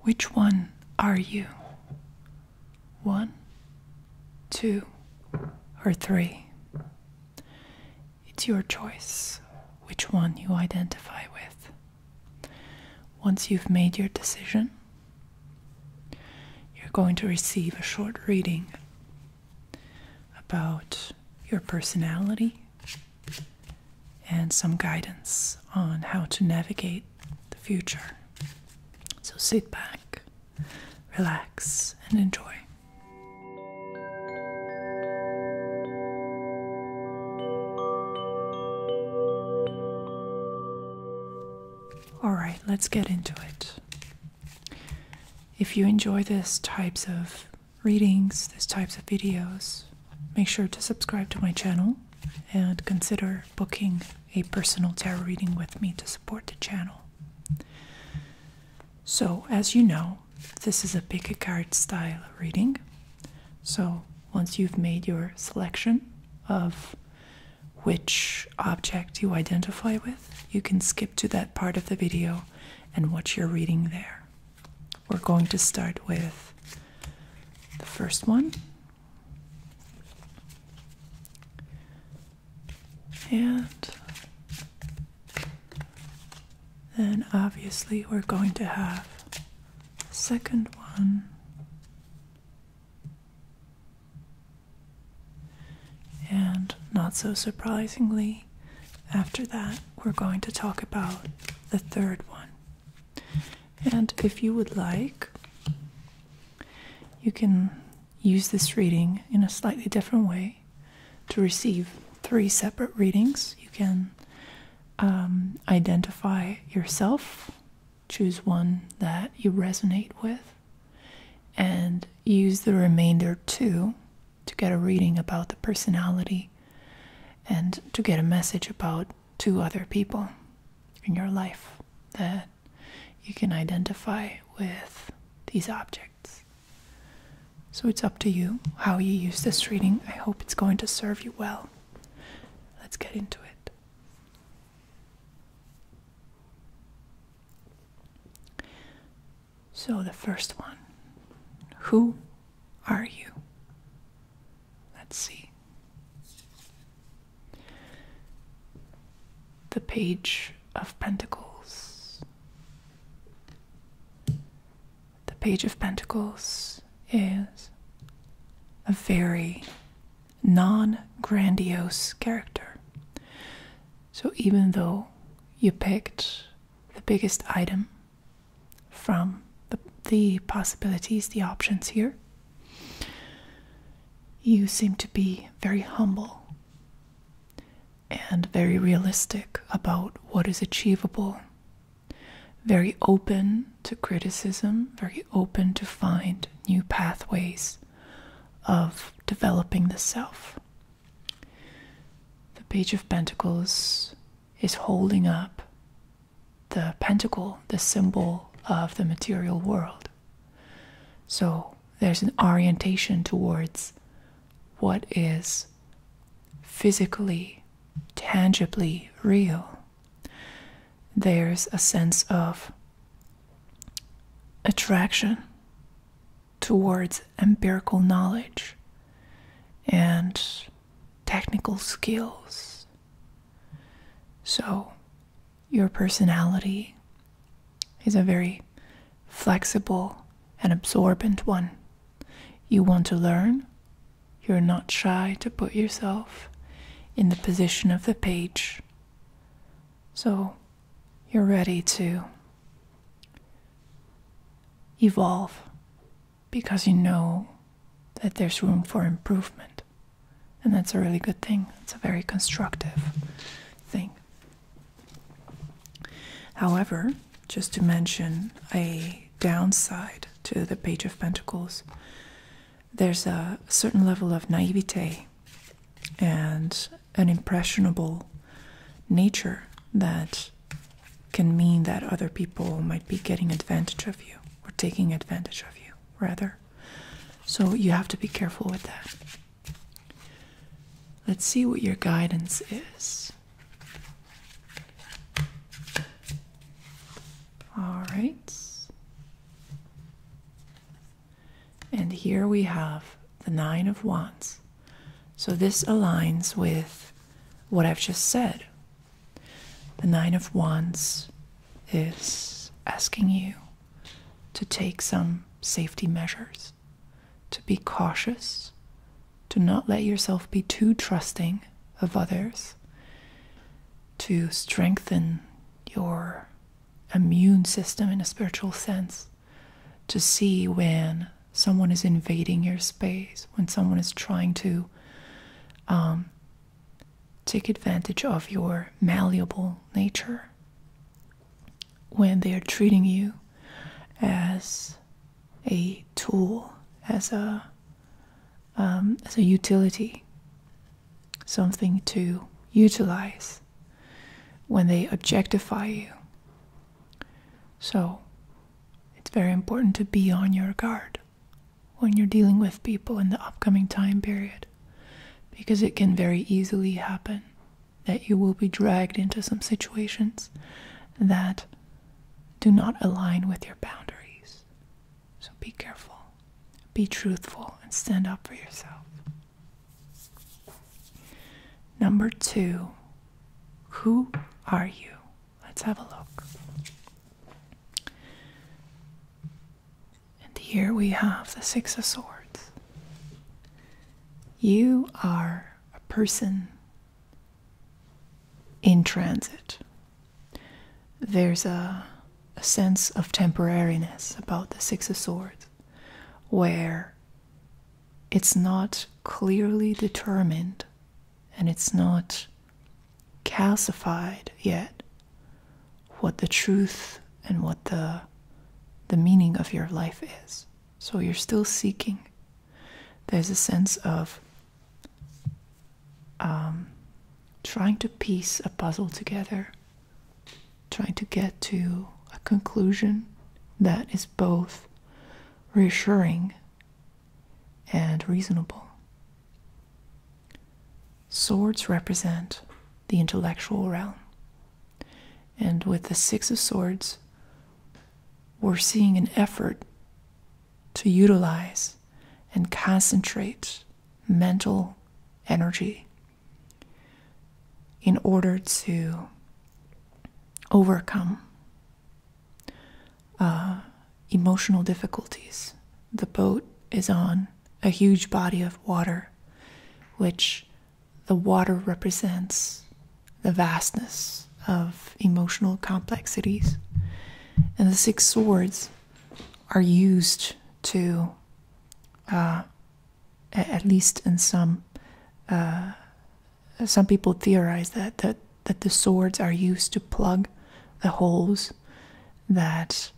Which one are you? One, two, or three? It's your choice which one you identify with. Once you've made your decision, you're going to receive a short reading about your personality and some guidance on how to navigate the future. So sit back, relax, and enjoy. All right, let's get into it. If you enjoy this types of readings, this types of videos, make sure to subscribe to my channel and consider booking a personal tarot reading with me to support the channel. So, as you know, this is a pick a card style reading. So, once you've made your selection of which object you identify with, you can skip to that part of the video and watch your reading there. We're going to start with the first one. And then obviously we're going to have the second one. And not so surprisingly, after that, we're going to talk about the third one. And if you would like, you can use this reading in a slightly different way to receive three separate readings. You can um, identify yourself, choose one that you resonate with, and use the remainder two to get a reading about the personality and to get a message about two other people in your life that you can identify with these objects. So it's up to you how you use this reading. I hope it's going to serve you well. Let's get into it. So, the first one Who are you? Let's see. The Page of Pentacles. The Page of Pentacles is a very non grandiose character. So even though you picked the biggest item from the, possibilities, the options here. You seem to be very humble and very realistic about what is achievable, very open to criticism, very open to find new pathways of developing the self. The Page of Pentacles is holding up the pentacle, the symbol of the material world. So there's an orientation towards what is physically, tangibly real. There's a sense of attraction towards empirical knowledge and technical skills. So, your personality is a very flexible and absorbent one. You want to learn, you're not shy to put yourself in the position of the page. So, you're ready to evolve because you know that there's room for improvement. And that's a really good thing. It's a very constructive thing. However, just to mention a downside to the Page of Pentacles, there's a certain level of naivete and an impressionable nature that can mean that other people might be getting advantage of you or taking advantage of you, rather. So you have to be careful with that. Let's see what your guidance is. All right. And here we have the Nine of Wands. So this aligns with what I've just said. The Nine of Wands is asking you to take some safety measures, to be cautious, to not let yourself be too trusting of others, to strengthen your immune system in a spiritual sense, to see when someone is invading your space, when someone is trying to um, take advantage of your malleable nature, when they are treating you as a tool, as a um, as a utility, something to utilize, when they objectify you, so, it's very important to be on your guard when you're dealing with people in the upcoming time period because it can very easily happen that you will be dragged into some situations that do not align with your boundaries. So be careful, be truthful, and stand up for yourself. Number two, who are you? Let's have a look. And here we have the Six of Swords. You are a person in transit. There's a, sense of temporariness about the Six of Swords where it's not clearly determined and it's not calcified yet what the truth and what the the meaning of your life is so you're still seeking there's a sense of um, trying to piece a puzzle together trying to get to a conclusion that is both reassuring and reasonable. Swords represent the intellectual realm. And with the Six of Swords, we're seeing an effort to utilize and concentrate mental energy in order to overcome uh, emotional difficulties. The boat is on a huge body of water, which the water represents the vastness of emotional complexities. And the six swords are used to uh, at least in some uh, some people theorize that, that that the swords are used to plug the holes that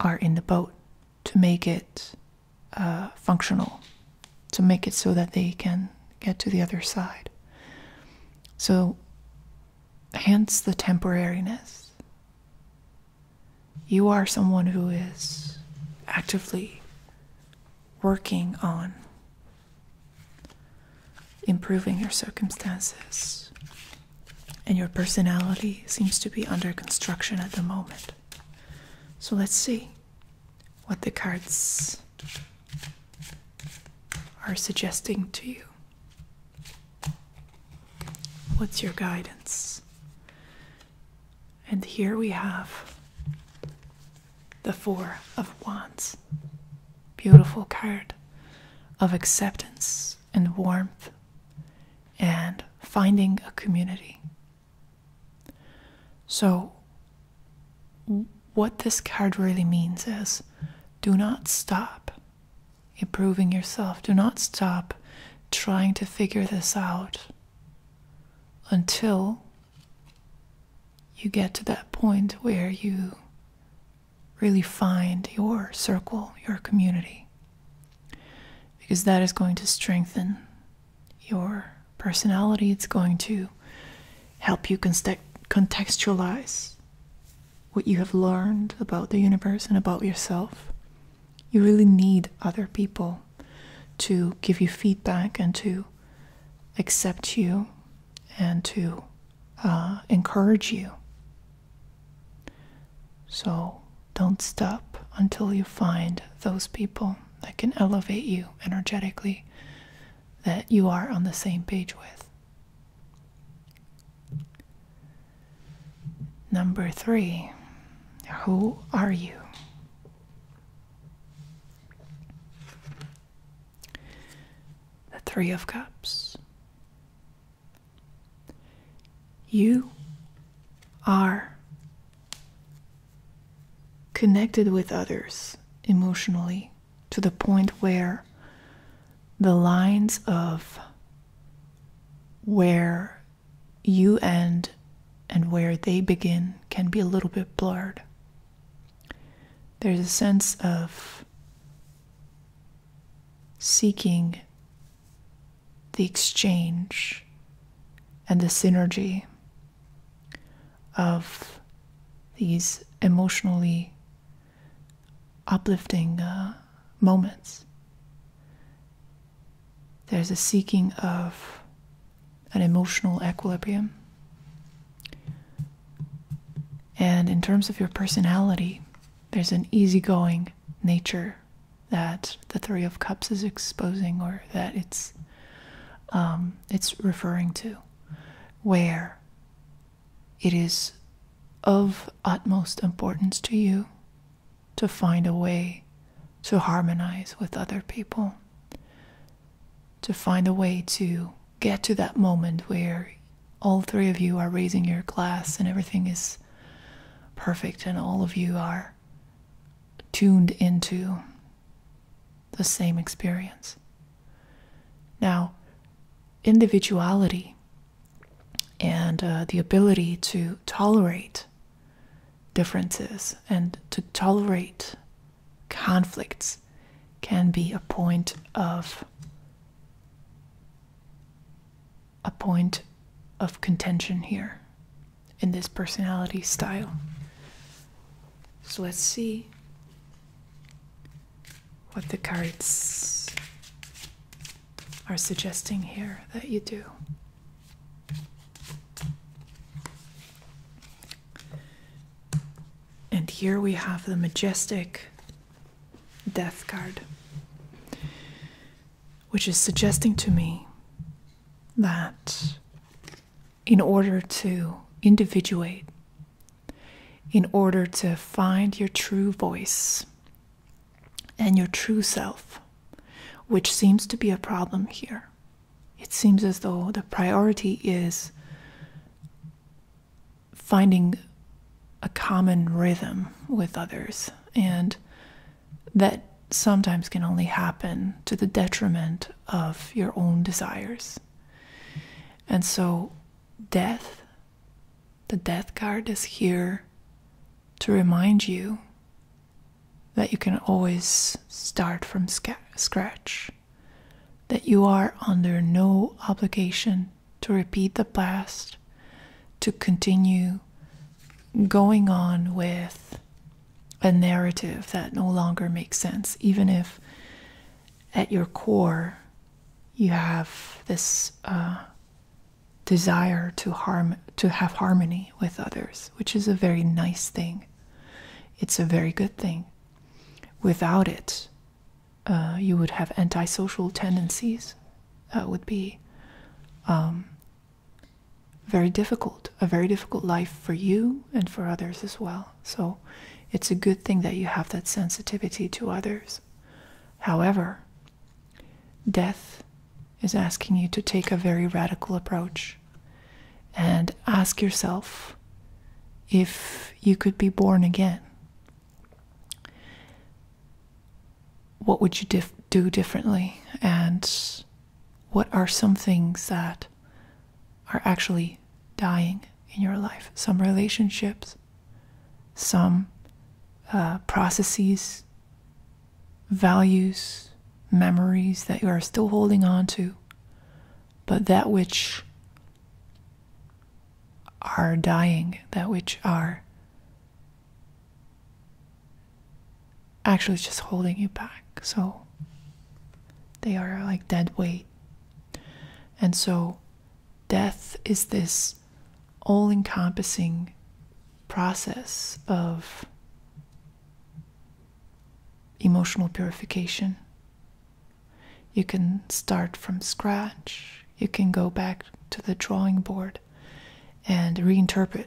are in the boat to make it uh, functional to make it so that they can get to the other side so hence the temporariness you are someone who is actively working on improving your circumstances, and your personality seems to be under construction at the moment. So let's see what the cards are suggesting to you. What's your guidance? And here we have the Four of Wands. Beautiful card of acceptance and warmth and finding a community. So, what this card really means is do not stop improving yourself, do not stop trying to figure this out until you get to that point where you really find your circle, your community, because that is going to strengthen your personality. It's going to help you contextualize what you have learned about the universe and about yourself. You really need other people to give you feedback and to accept you and to uh, encourage you. So don't stop until you find those people that can elevate you energetically, that you are on the same page with. Number three, who are you? The Three of Cups. You are connected with others emotionally to the point where the lines of where you end and where they begin can be a little bit blurred. There's a sense of seeking the exchange and the synergy of these emotionally uplifting uh, moments. There's a seeking of an emotional equilibrium. And in terms of your personality, there's an easygoing nature that the Three of Cups is exposing or that it's um, it's referring to, where it is of utmost importance to you to find a way to harmonize with other people, to find a way to get to that moment where all three of you are raising your glass and everything is perfect and all of you are tuned into the same experience. Now, individuality and uh, the ability to tolerate differences and to tolerate conflicts can be a point of a point of contention here in this personality style. So let's see what the cards are suggesting here that you do. And here we have the majestic death card, which is suggesting to me that in order to individuate, in order to find your true voice, and your true self, which seems to be a problem here. It seems as though the priority is finding a common rhythm with others, and that sometimes can only happen to the detriment of your own desires. And so, death the death card is here to remind you that you can always start from scratch, that you are under no obligation to repeat the past, to continue going on with a narrative that no longer makes sense, even if at your core you have this uh, desire to harm to have harmony with others, which is a very nice thing. It's a very good thing. Without it, uh, you would have antisocial tendencies. That uh, would be um, very difficult, a very difficult life for you and for others as well. So it's a good thing that you have that sensitivity to others. However, Death is asking you to take a very radical approach and ask yourself if you could be born again. What would you do differently? And what are some things that are actually dying in your life? Some relationships, some uh, processes, values, memories that you are still holding on to, but that which are dying, that which are actually just holding you back. So they are like dead weight. And so death is this all encompassing process of emotional purification. You can start from scratch, you can go back to the drawing board and reinterpret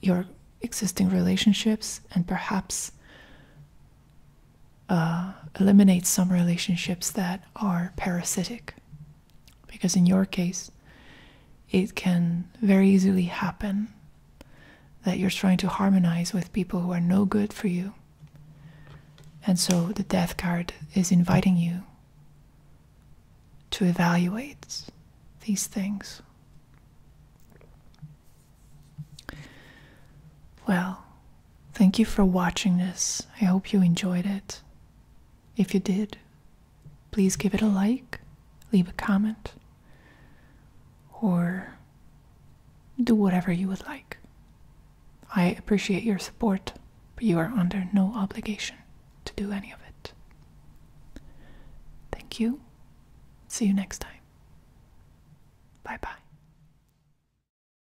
your existing relationships and perhaps uh, eliminate some relationships that are parasitic. Because in your case, it can very easily happen that you're trying to harmonize with people who are no good for you. And so the death card is inviting you to evaluate these things. Well, Thank you for watching this. I hope you enjoyed it. If you did, please give it a like, leave a comment, or do whatever you would like. I appreciate your support, but you are under no obligation to do any of it. Thank you. See you next time. Bye bye.